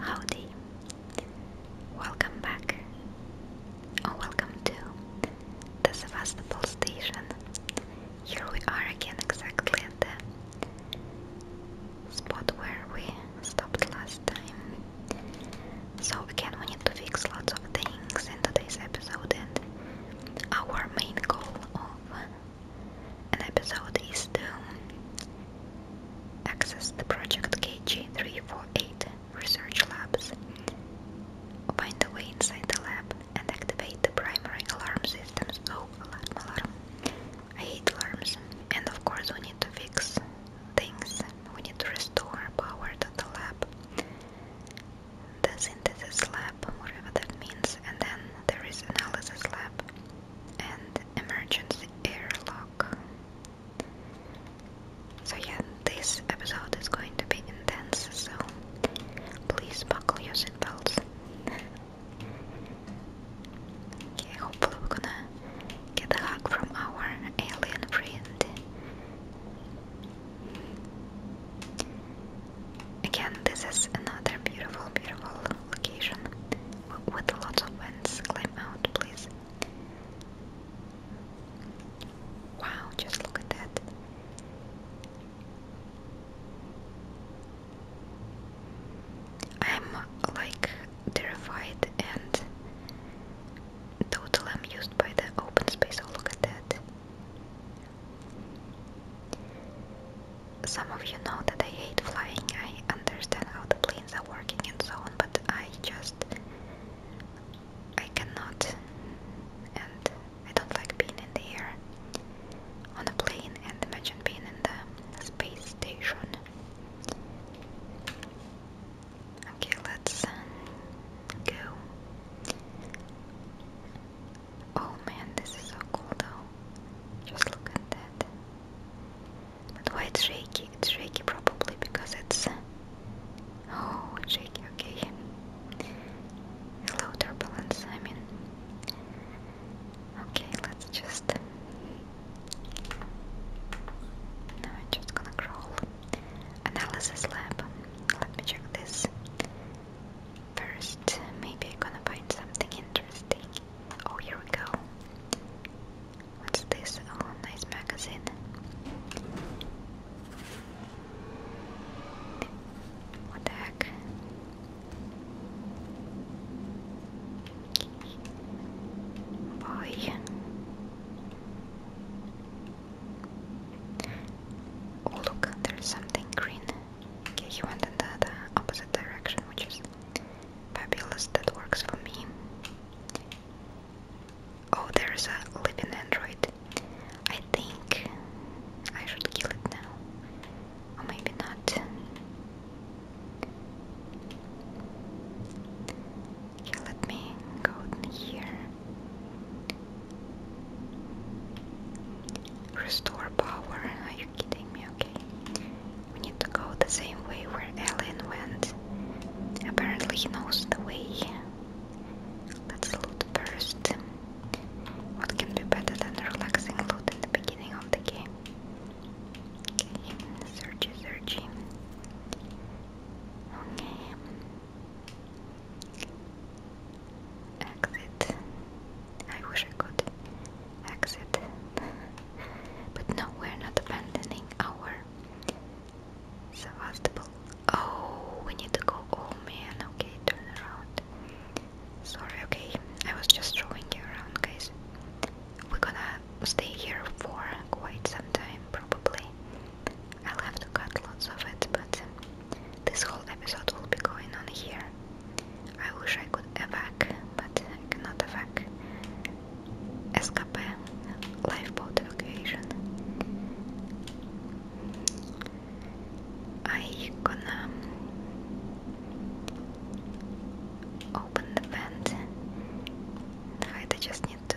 Howdy! Welcome back, or oh, welcome to the Sevastopol station. Here we are again, exactly at the spot where we stopped last time. So, again, we need to fix lots of things in today's episode, and our main goal of an episode is to Access the Project KG348 Research Labs. Find the way inside the lab and activate the primary alarm systems. Oh, alarm, alarm. I hate alarms. And of course we need to fix things. We need to restore power to the lab. The synthesis lab, whatever that means. And then there is analysis lab and emergency airlock. So yeah, this episode is going to be intense, so please buckle your seatbelts. okay, hopefully we're gonna get a hug from our alien friend. Again, this is another beautiful, beautiful location with lots of vents. Climb out, please. Wow, just look at that. I'm like terrified and totally amused by the open space. Oh, look at that some of you know that I hate flying. I understand how the planes are working and so on, but I just I cannot, and I don't like being in the air on a plane. And imagine being in the space station. Okay, let's go. Oh man, this is so cool though. Just look at that. But why it's shaky? It's shaky probably because it's... Oh, shaky, okay. Slow turbulence, I mean. Okay, let's just... Now I'm just gonna crawl. Analysis lab. Let me check this. First, maybe I'm gonna find something interesting. Oh, here we go. What's this? Oh, nice magazine. What the heck? Boy. Oh, look, there's something green. Okay, he went in the opposite direction, which is Fabulous, that works for me. Oh, there's a living android. I think I should kill it now. Or maybe not. Okay, let me go in here. Restore power. Are you kidding me? Okay. We need to go the same way where Alien went. Apparently he knows the way. Let's loot first. What can be better than relaxing loot in the beginning of the game? Okay, searchy, searchy. Okay. Exit. I wish I could exit. but no, we're not abandoning our Sevastopol. Oh, we need to go. Oh man, okay, turn around. Sorry, okay, I was just showing you around, guys. We're gonna stay here for quite some time, probably. I'll have to cut lots of it, but um, this whole episode will be going on here. I wish I could evac, but I cannot evac. Escape, lifeboat evacuation. I gonna open the vent. I just need to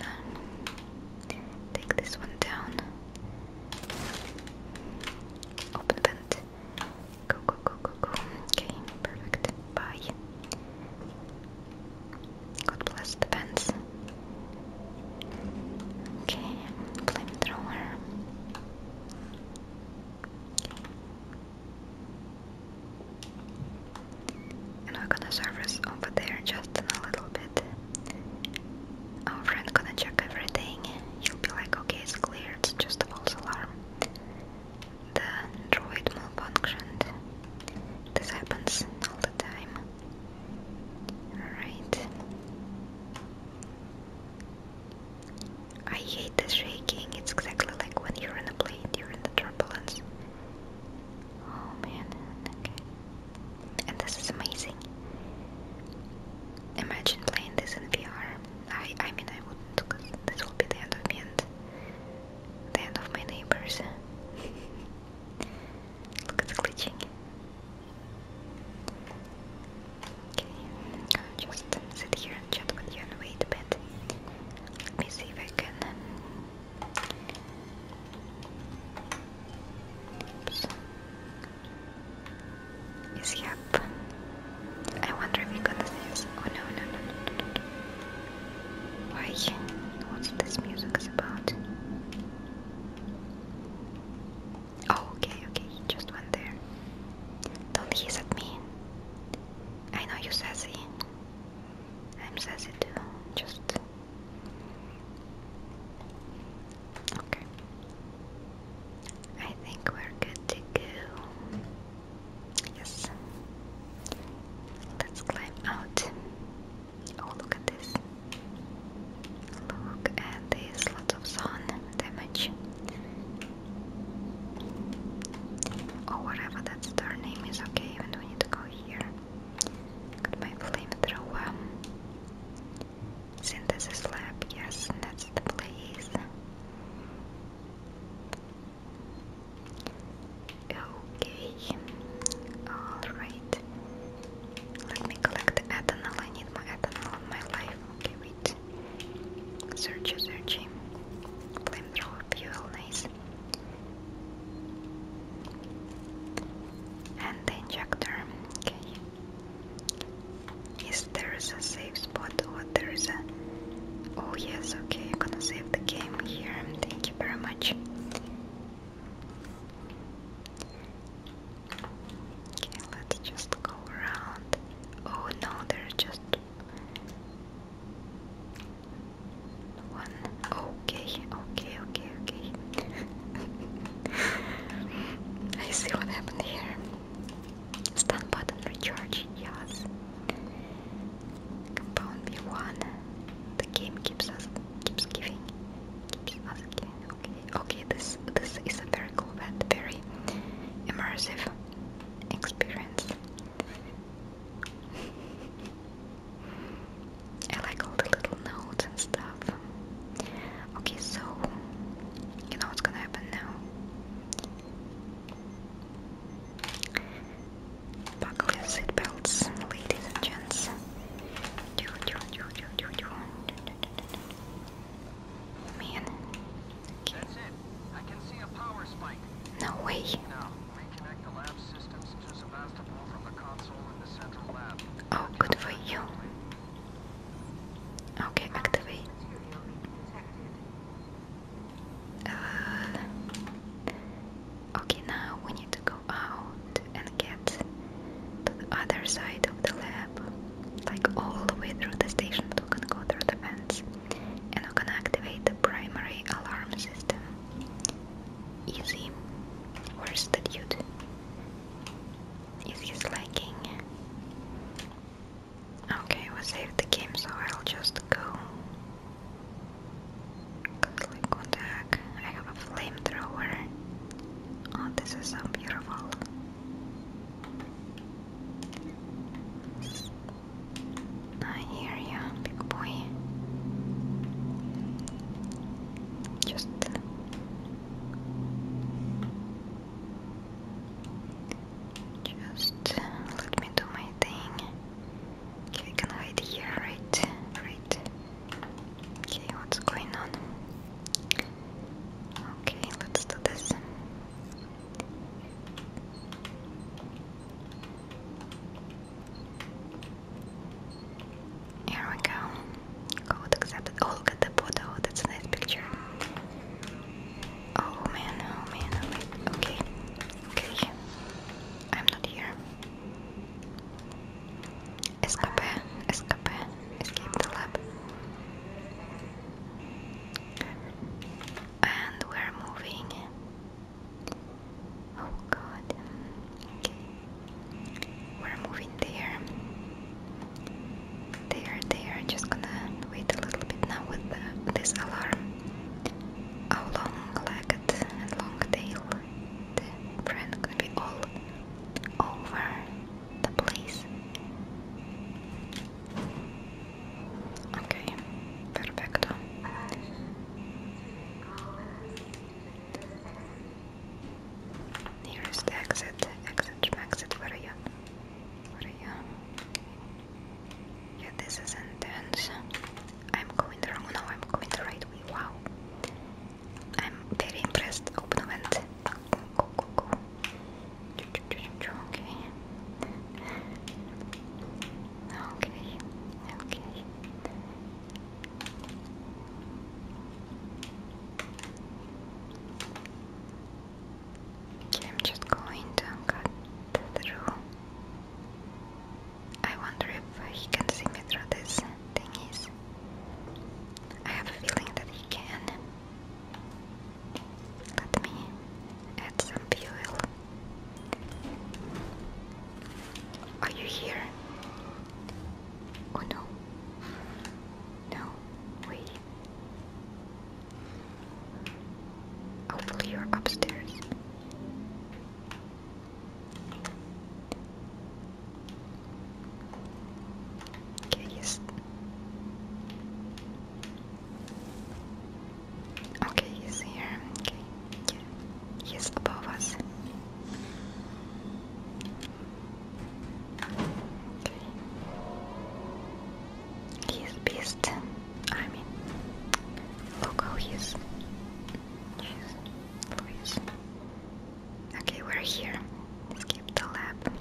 take this one down. Open vent. Go, go, go, go, go. Okay, perfect. Bye. God bless the fence. Okay, flamethrower. And we're gonna service over there just a little bit. Our friend gonna check everything. He'll be like, okay, it's clear, it's just a false alarm the droid malfunctioned. This happens all the time. Alright. I hate the shaking, it's exactly like when you're in a plane during the turbulence. Oh man, okay. And this is amazing. Imagine playing this in VR. I, I mean, I wouldn't, because this will be the end of me and the end of my neighbors. Look at glitching. Okay, just sit here and chat with you and wait a bit. Let me see if I can. Oops. Is he up? I wonder if you're Oh no, no, no, no, Why? What's this music is about? Oh, okay, okay, he just went there. Don't hiss at me. I know you are sassy. I'm sassy too. Just okay. I think we're good to go. Yes. Let's climb out. Oh, look at this. Look at this. Lots of sun damage. Oh, whatever that star name is. Okay, we need to go here. Got my flamethrower. Synthesis lab. Yes, that's the place. Okay, alright. Let me collect ethanol. I need more in my life. Okay, wait. Search, search. Flamethrower fuel, nice. And the injector. Okay. Is there is a safe spot. Or oh, there is a. Oh, yes, okay, you're gonna save the game here. Thank you very much. Okay, let's just go around. Oh no, there's just one. Okay, okay, okay, okay. I see what happened here. Stun button recharge, yes. Compound B1. The game keeps us keeps giving. Keeps us giving. Okay. Okay, this this is a very cool and very immersive experience. I like all the little notes and stuff. Okay, so you know what's gonna happen now. Buckle your seatbelts, ladies and gents. Man. That's it. I can see a power spike. No way. in the central Oh, good for you. Okay, activate. Uh, okay, now we need to go out and get to the other side of the lab, like all the way through the station, but we're go through the vents and we can activate the primary alarm system. Easy. Where's the dude? Is he slacking? Okay, we saved the game, so I'll just go. Cause like I have a flamethrower. Oh, this is so beautiful. I ah, hear you, big boy. Just just uh, let me do my thing. Okay, can hide here, right? Right. Okay, what's going on? Okay, let's do this. Here we go. Code accepted. Oh, look at the photo. That's a nice picture. Oh man, oh man, oh man. Okay. Okay. I'm not here. Escape, escape, escape the lab. And we're moving. Oh god. Okay. We're moving there. They are there. Just gonna wait a little bit now with this alarm. Our long-legged and long-tailed friend gonna be all over the place. Okay, perfecto. Nearest exit, exit, exit, where are you? Where are you? Yeah, this is intense. I'm going the wrong. No, I'm going the right way. Wow. I'm very impressed. Open the vent. Go, go, go. Okay. Okay. Okay. I'm just going to cut through. I wonder if he can see me through this thing. thingies. I have a feeling that he can. Let me add some fuel. Are you here? Oh no. No, wait. Hopefully you're upstairs. Okay, yes. Okay, he's here. Okay, yeah. He's above us. He's beast. I mean, look how he is. Jeez, Okay, we're here. Skip the lab.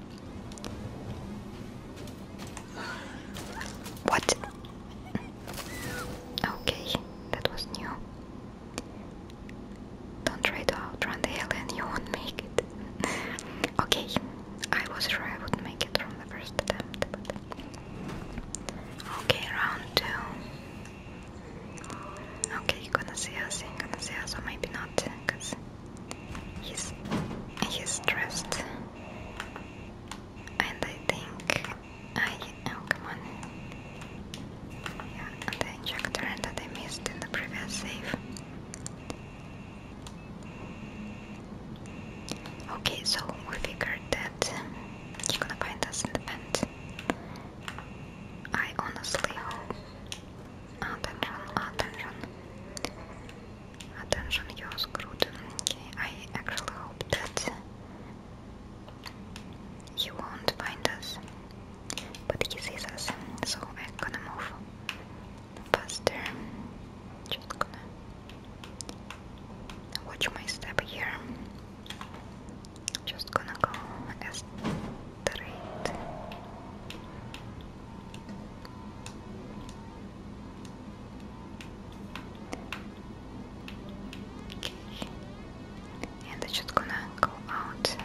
What? Okay, that was new. Don't try to outrun the alien, you won't make it. okay, I was sure I would make it. Okay, round two. Okay, you're gonna see us, you're gonna see us, or maybe not, because he's, he's stressed. And I think I. Oh, come on. Yeah, the injector that I missed in the previous save. Okay, so we figured that he's gonna find us in the vent. I honestly hope. Attention, attention. Attention, you're screwed. I actually hope that you won't find us. But he sees us, so we're gonna move faster. Just gonna watch my step here. Just gonna go straight. Okay. And I'm just gonna go out,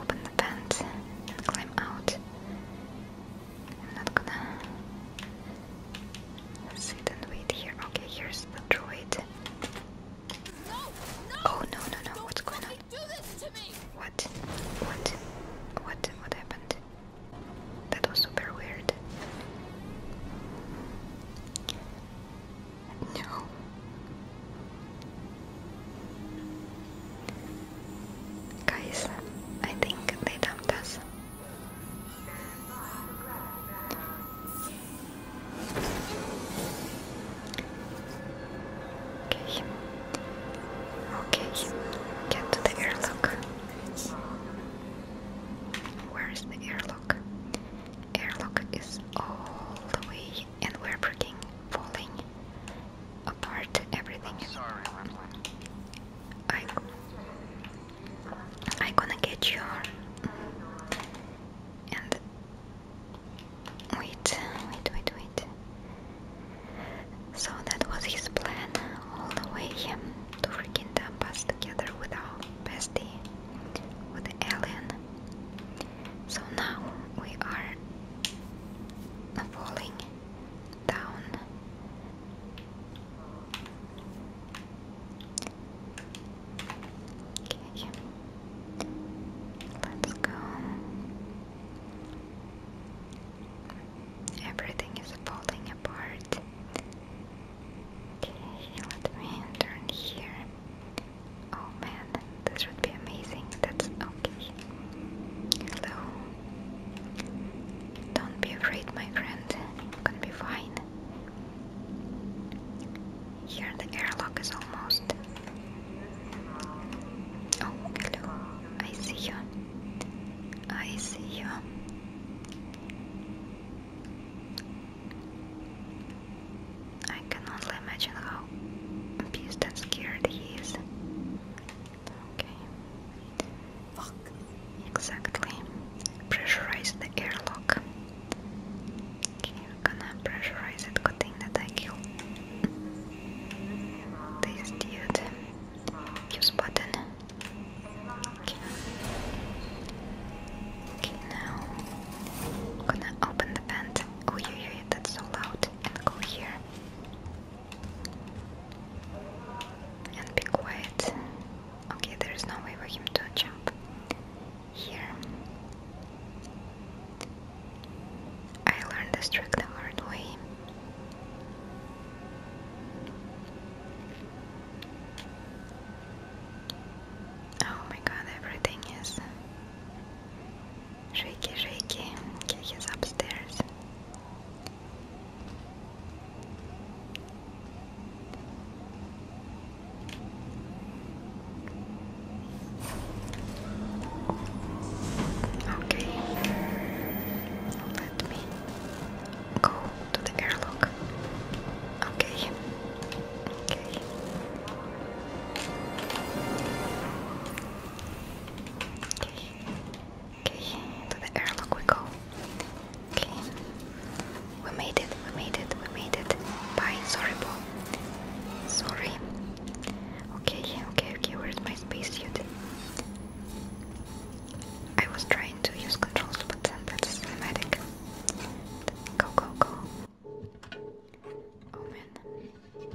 open the vent, and climb out. I'm not gonna sit and wait here. Okay, here's the droid. oh no no no! What's going on? What? What? What? What happened? That was super weird. No. Guys, I think they dumped us. Okay. Okay, get to the airlock. Where is the airlock? Airlock is all the way, and we're freaking falling apart everything. I, I gonna get your and wait, wait, wait, wait. So that was his plan all the way him to freaking dump us together with our bestie, with the alien. So now we are falling down. Okay. Let's go. Everything is falling apart. Okay, let me turn here. Oh man, this would be amazing. That's okay. Hello. Don't be afraid, my friend. You can be fine. Here, the airlock is almost. Oh, hello. I see you. I see you. I can only imagine how pissed and scared he is. Okay. Exactly. Pressurize the airlock. gonna pressurize it. Good thing that I killed this dude. Use button. Okay. Okay, now gonna open the vent. Oh, yeah, yeah, that's so loud. go here. And be quiet. Okay, there is no way for him to jump here. I learned this trick the hard way. Oh my god, everything is Shaky, shaky. Okay, he's upstairs. Okay, let me go to the airlock. Okay, okay. Okay, to the airlock we go. Okay, we made it, we made it, we made it. Bye, sorry, Bo. Sorry. Okay, okay, okay, where's my spacesuit? I was trying to use controls, but that's cinematic. Go, go, go. Oh man.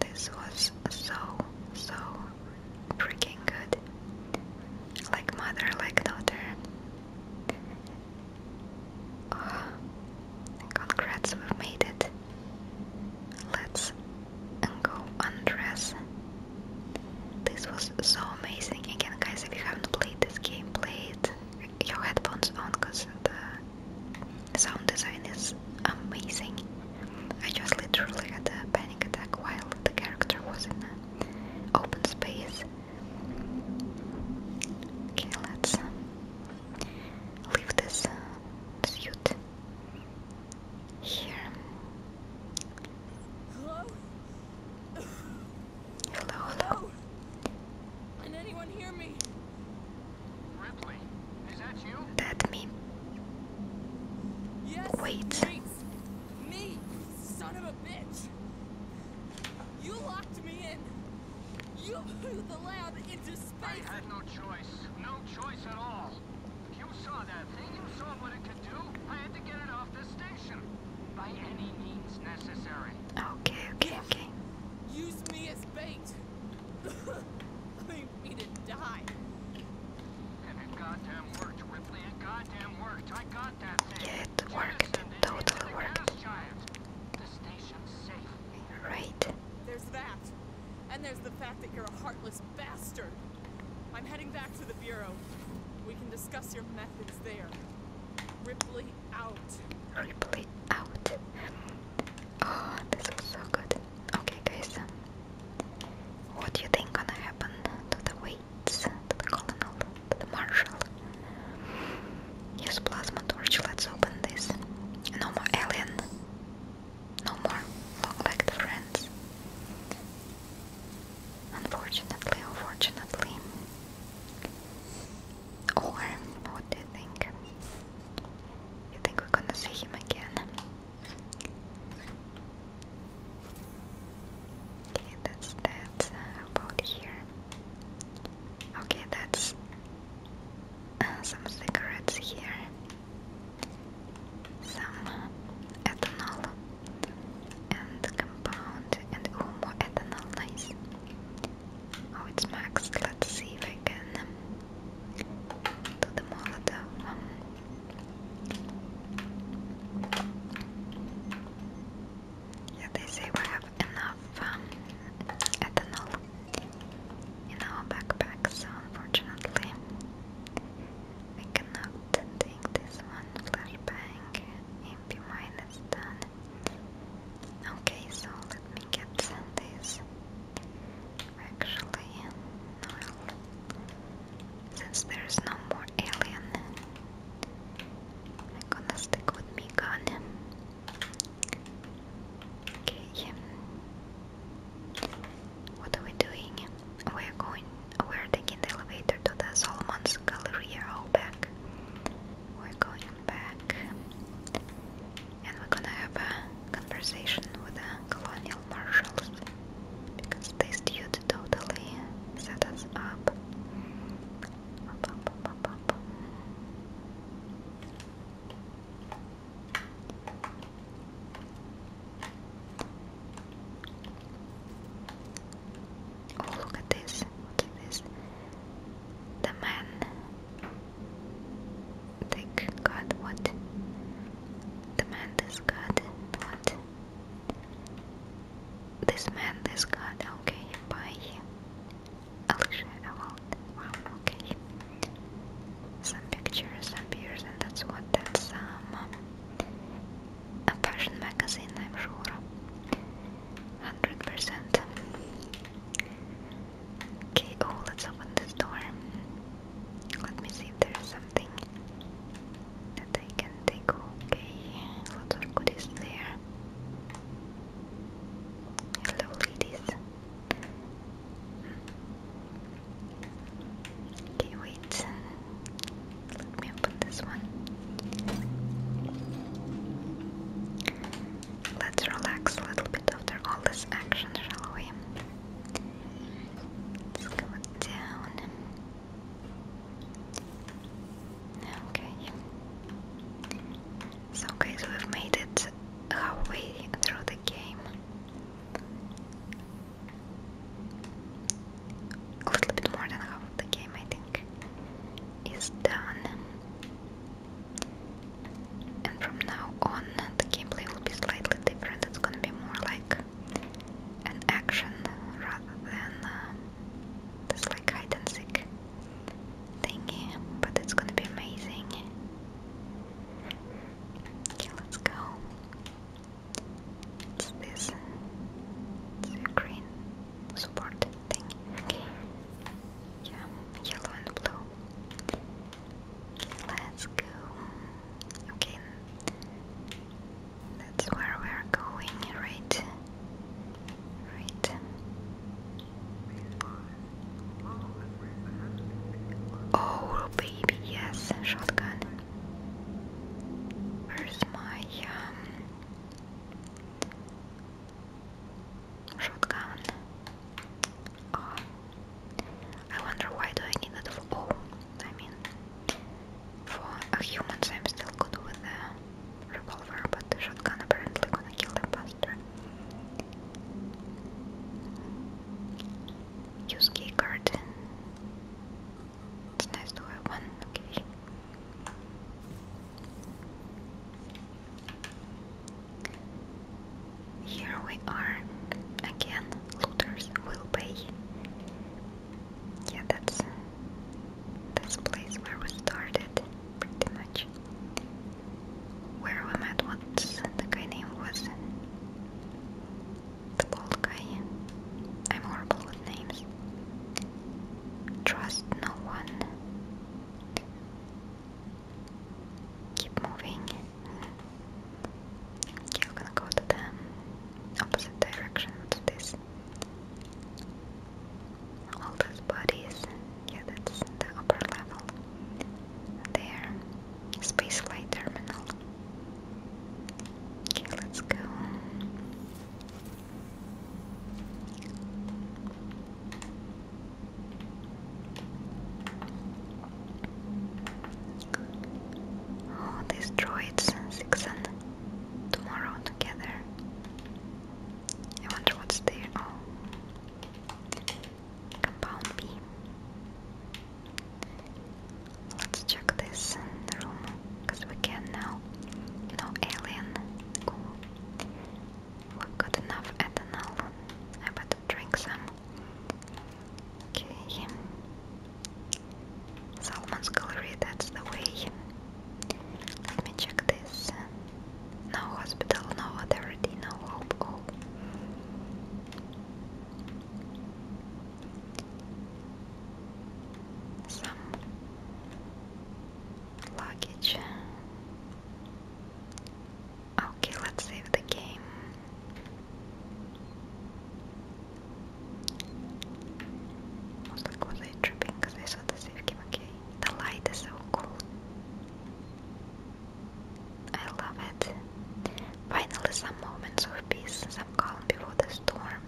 This was so, so freaking good. Like mother, like daughter. Oh, congrats, we've made it. Let's go undress. This was so amazing. Again, guys, if you haven't played this game, play it your headphones on because the sound design is amazing. I just literally had a panic attack while the character was in an open space. Okay, let's um, leave this uh, here. Hello? Hello, Ripley, is that you? That me. Yes, Wait. Wait. Me, You locked me in. You flew the lab into space. I had no choice. No choice at all. You saw that thing. You saw what it could do. I had to get it off the station. By any means necessary. Okay, okay, okay. Use me as bait leave me to die. And it goddamn worked, Ripley. It goddamn worked. I got that thing. Yeah, it worked. It The station's safe. Right. There's that. And there's the fact that you're a heartless bastard. I'm heading back to the Bureau. We can discuss your methods there. Ripley, Roleplay out. Oh, this was so good. Okay, guys, um, what do you think gonna happen to the weights, to the colonel, to the marshal? Yes, plasma torch. Let's open this. No more alien. No more long-legged friends. Unfortunately, unfortunately. Or what do you think? You think we're gonna see him again? Okay, that's that uh, about here. Okay, that's uh, some cigarettes here. Some ethanol and compound and more ethanol, nice. Oh, it's max. Let's see if I can do the Molotov. Yeah, they say we have enough um, ethanol in our backpack, so unfortunately, we cannot take this one. Flashbang, MP mine is done. Okay, so let me get this. Actually, since there's no more alien, I'm gonna stick with me gun. Okay, what are we doing? We're going. We're taking the elevator to the Solomon's Galleria. All back. We're going back and we're gonna have a conversation with the colonial marshals because this dude totally set us up. Oh, look at this. What is this? The man Dick God, what? The man this got what? This man this God, okay by Alicia Awald. Wow, okay. Some pictures, appears, and that's what that's um a fashion magazine I'm sure. Hundred percent. Okay, oh, let's open this door. Let me see if there's something that I can take. Okay, lots of goodies there. Hello, ladies. Okay, wait. Let me open this one. Let's relax a little bit after all this action, shall we? Let's go down. Okay. So guys, we've made it halfway through the game. A little bit more than half of the game, I think, is done. And from now on, the gameplay will be slightly different. It's gonna be more like an action rather than uh, this like hide and seek thingy. But it's gonna be amazing. Okay, let's go. What's this? It's support thing. Okay. Yeah, yellow and blue. let's go. Okay. That's where we're going, right? Right. Oh, baby, yes, shotgun. Where's my um Shotgun. Oh. I wonder why do I need that for? Oh, I mean, for a humans I'm still good with the revolver, but the shotgun apparently gonna kill them faster. Use key It's nice to have one. Okay. Here we are again. Looters will pay. Yeah, that's that's place where we started, pretty much. Where we met what the guy name was. The bald guy. I'm horrible with names. Trust no one. Keep moving. Okay, we're gonna go to the opposite direction. What's this? All those bodies. Yeah, that's the upper level. There. Space flight terminal. Okay, let's go. Oh, these droids, six and tomorrow together. I wonder what's there. Oh, compound B. Let's check this room because we can now. No alien we have got enough ethanol. I better drink some. Okay. Salmon's Gallery, that's the way. Let me check this. No hospital, no authority, no hope. Oh. Some luggage. Okay, let's save the game. Like, was I tripping because I saw the save game? Okay, the light is so cool. I love it. Finally, some moments of peace, some calm before the storm.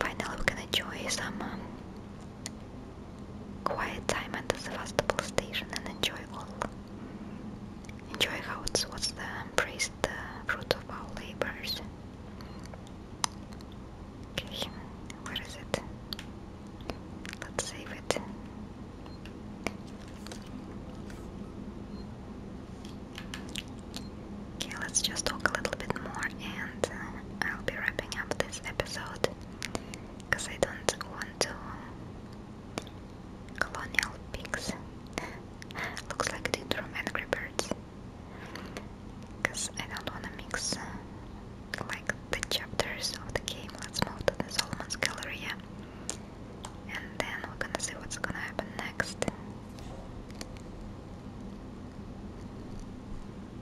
Finally, we can enjoy some um, Quiet time at the Sevastopol station and enjoy all. Enjoy how it's what's the embrace the fruit of our labors. Okay, where is it? Let's save it. Okay, let's just talk a little bit more and uh, I'll be wrapping up this episode because I don't want to colonial pigs looks like the from Birds because I don't want to mix uh, like the chapters of the game let's move to the Solomon's gallery, and then we're gonna see what's gonna happen next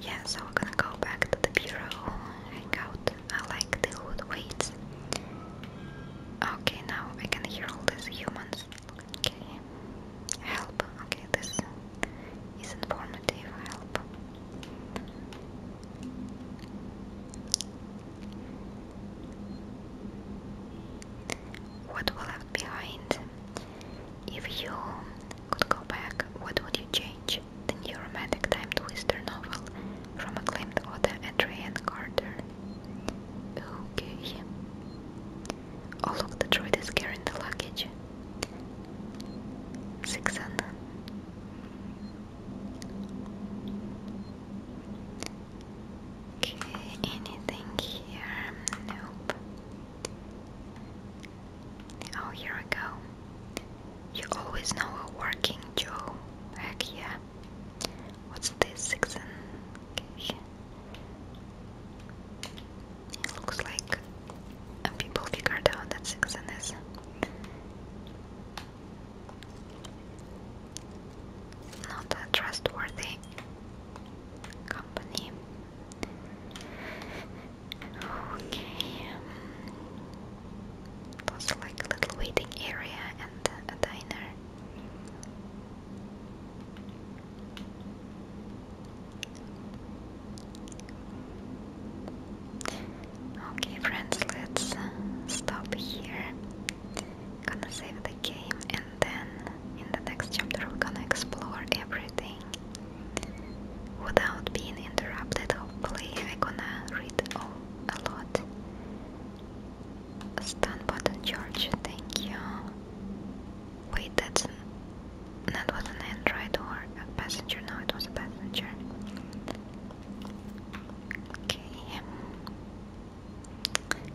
Yeah, so we're gonna go back to the bureau, hang out. I like the hood weights. Okay, now I can hear all these humans. Okay, help. Okay, this is informative. Help. What we left behind? If you could go back, what would you change? The new romantic time twister novel from acclaimed author Adrienne Carter. Okay. Oh look, the droid is carrying the luggage. Sixon. Okay, anything here? Nope. Oh, here we go. You always know a working Joe. Heck yeah. What's this? Six It looks like people figured out that six is. Not trustworthy company. Okay, it like little waiting area and a diner. Okay, friends, let's uh, stop here. Gonna save the game and and then in the next chapter we're gonna explore everything without being interrupted hopefully I'm gonna read a lot stun button George, thank you wait that's that was an android or a passenger, no it was a passenger okay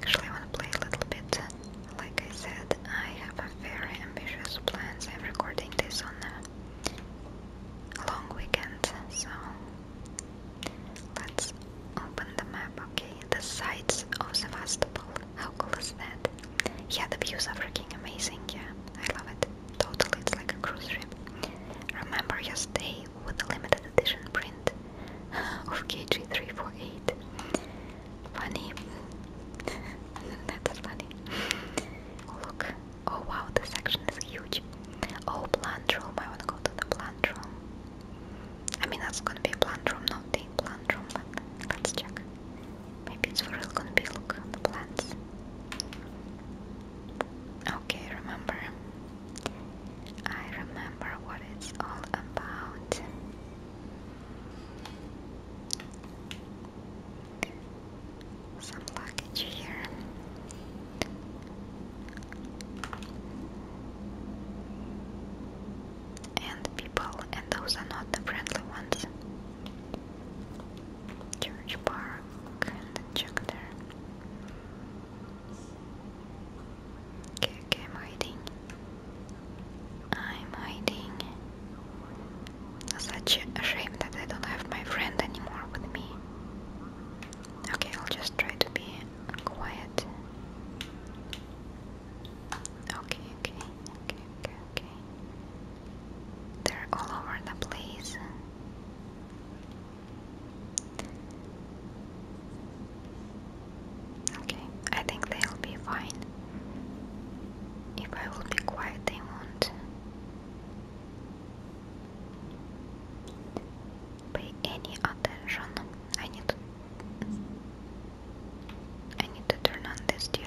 Actually, I want to play a little bit. Like I said, I have very ambitious plans. I'm recording this on a long weekend, so let's open the map. Okay, the sights of Sevastopol. How cool is that? Yeah, the views are freaking amazing. Yeah, I love it. Totally, it's like a cruise ship. Remember your stay with the limited edition print of KG348. Funny. That's funny. Oh, look. Oh wow, this section is huge. Oh, plant room. I want to go to the plant room. I mean, that's gonna be a plant room, not the plant room, but let's check. Maybe it's for real gonna be look the plants. Okay, remember. I remember what it's all about. Some luggage here. And people, and those are not the friendly ones. Church Park and check there. I'm hiding. I'm hiding. Such a shame that I don't have my friend anymore with me. Okay, I'll just try to be quiet. Okay, okay, okay, okay, okay. They're all over the place. Okay, I think they'll be fine. If I will be quiet, they won't. Pay any attention. I need to I need turn on this dude.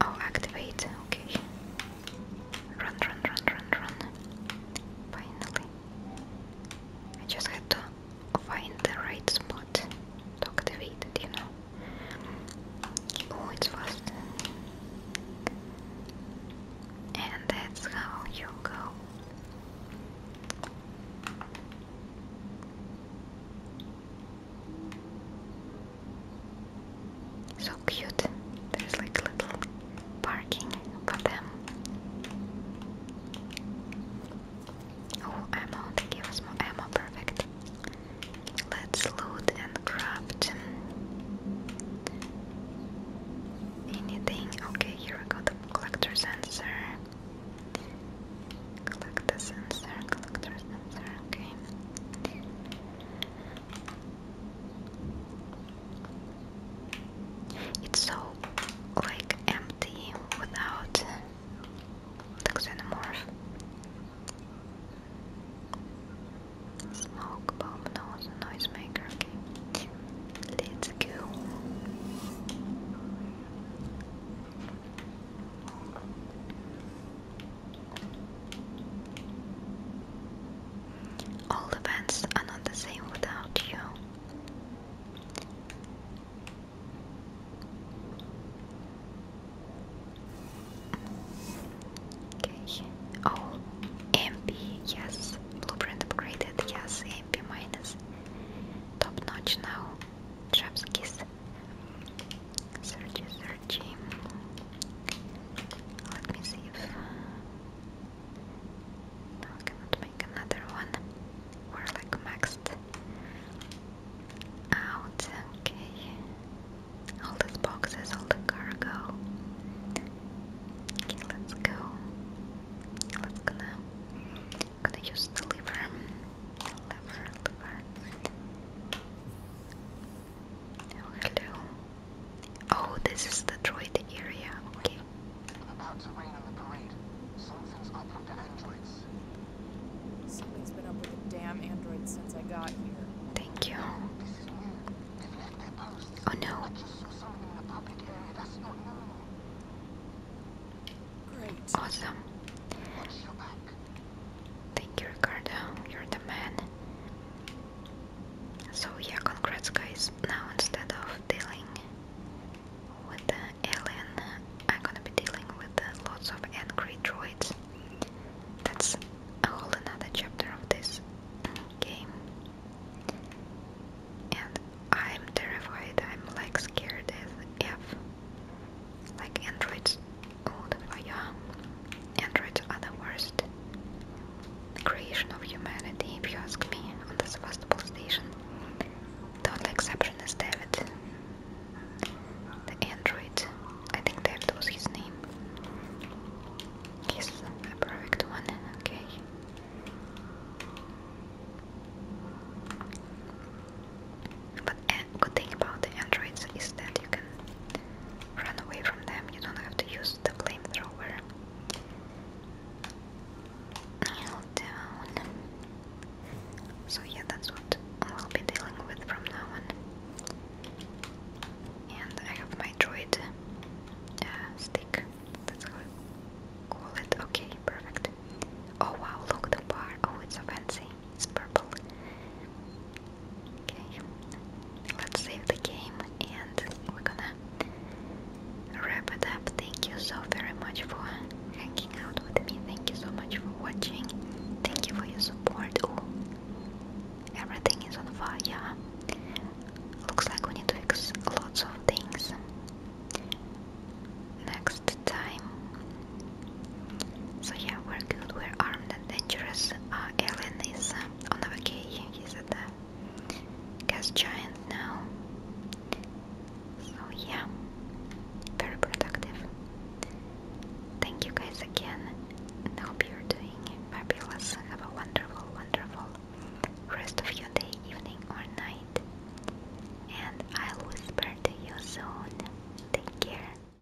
Oh, activate. Okay. Run, run, run, run, run. Finally. I just had to find the right spot to activate it, you know. Oh, it's fast. And that's how you go. So cute. There's like little parking for them. Oh, ammo. They us more ammo. Perfect. Let's loot and craft anything. Okay, here we go. The collector sensor. Collector sensor. Collector sensor. Okay. It's so like empty without the xenomorph. Smoke bomb nose noisemaker. Okay. Let's go. All events are not the same without you. Okay. Oh, MP, yes. Blueprint upgraded, yes. MP minus. Top notch now. Traps Searchy, search. Let me see if I cannot make another one. We're like maxed out. Okay. All these boxes, all the cargo. Okay, let's go. Let's gonna gonna use the lever. Lever, lever. Hello. Oh, this is the droid area. Okay. About to rain on the parade. Something's up with the androids. Something's been up with the damn androids since I got here. Thank you. This is Oh no. I just saw something in the public area that's not normal. Great. Awesome. Thank you, Ricardo. You're the man. So yeah, congrats, guys. Now instead of dealing with the alien, I'm gonna be dealing with lots of angry droids. That's a whole another chapter of this game. And I'm terrified. I'm like scared as f like androids old or young, androids are the worst creation of humanity, if you ask me, on the Sevastopol station. The only exception is David, the android. I think David was his name. He's a perfect one, okay. But good thing about the androids is that you can run away from them. You don't have to use the flamethrower. Kneel down. So yeah, that's what we'll be dealing with from now on. And I have my droid uh, stick. That's how I call it. Okay, perfect. Oh wow, look the bar. Oh, it's so fancy. It's purple. Okay, let's save the game and we gonna wrap it up. Thank you so very much for hanging out with me. Thank you so much for watching. Thank you for your support. Oh, everything is on fire. Yeah. Looks like we need to fix lots of things next time. So yeah, we're good, we're armed and dangerous. Uh, is um, on a vacation, he's a the gas giant now. So yeah, very productive. Thank you guys again, I hope you're doing fabulous. Have a wonderful, wonderful rest of your day, evening, or night. And I'll whisper to you soon. Take care.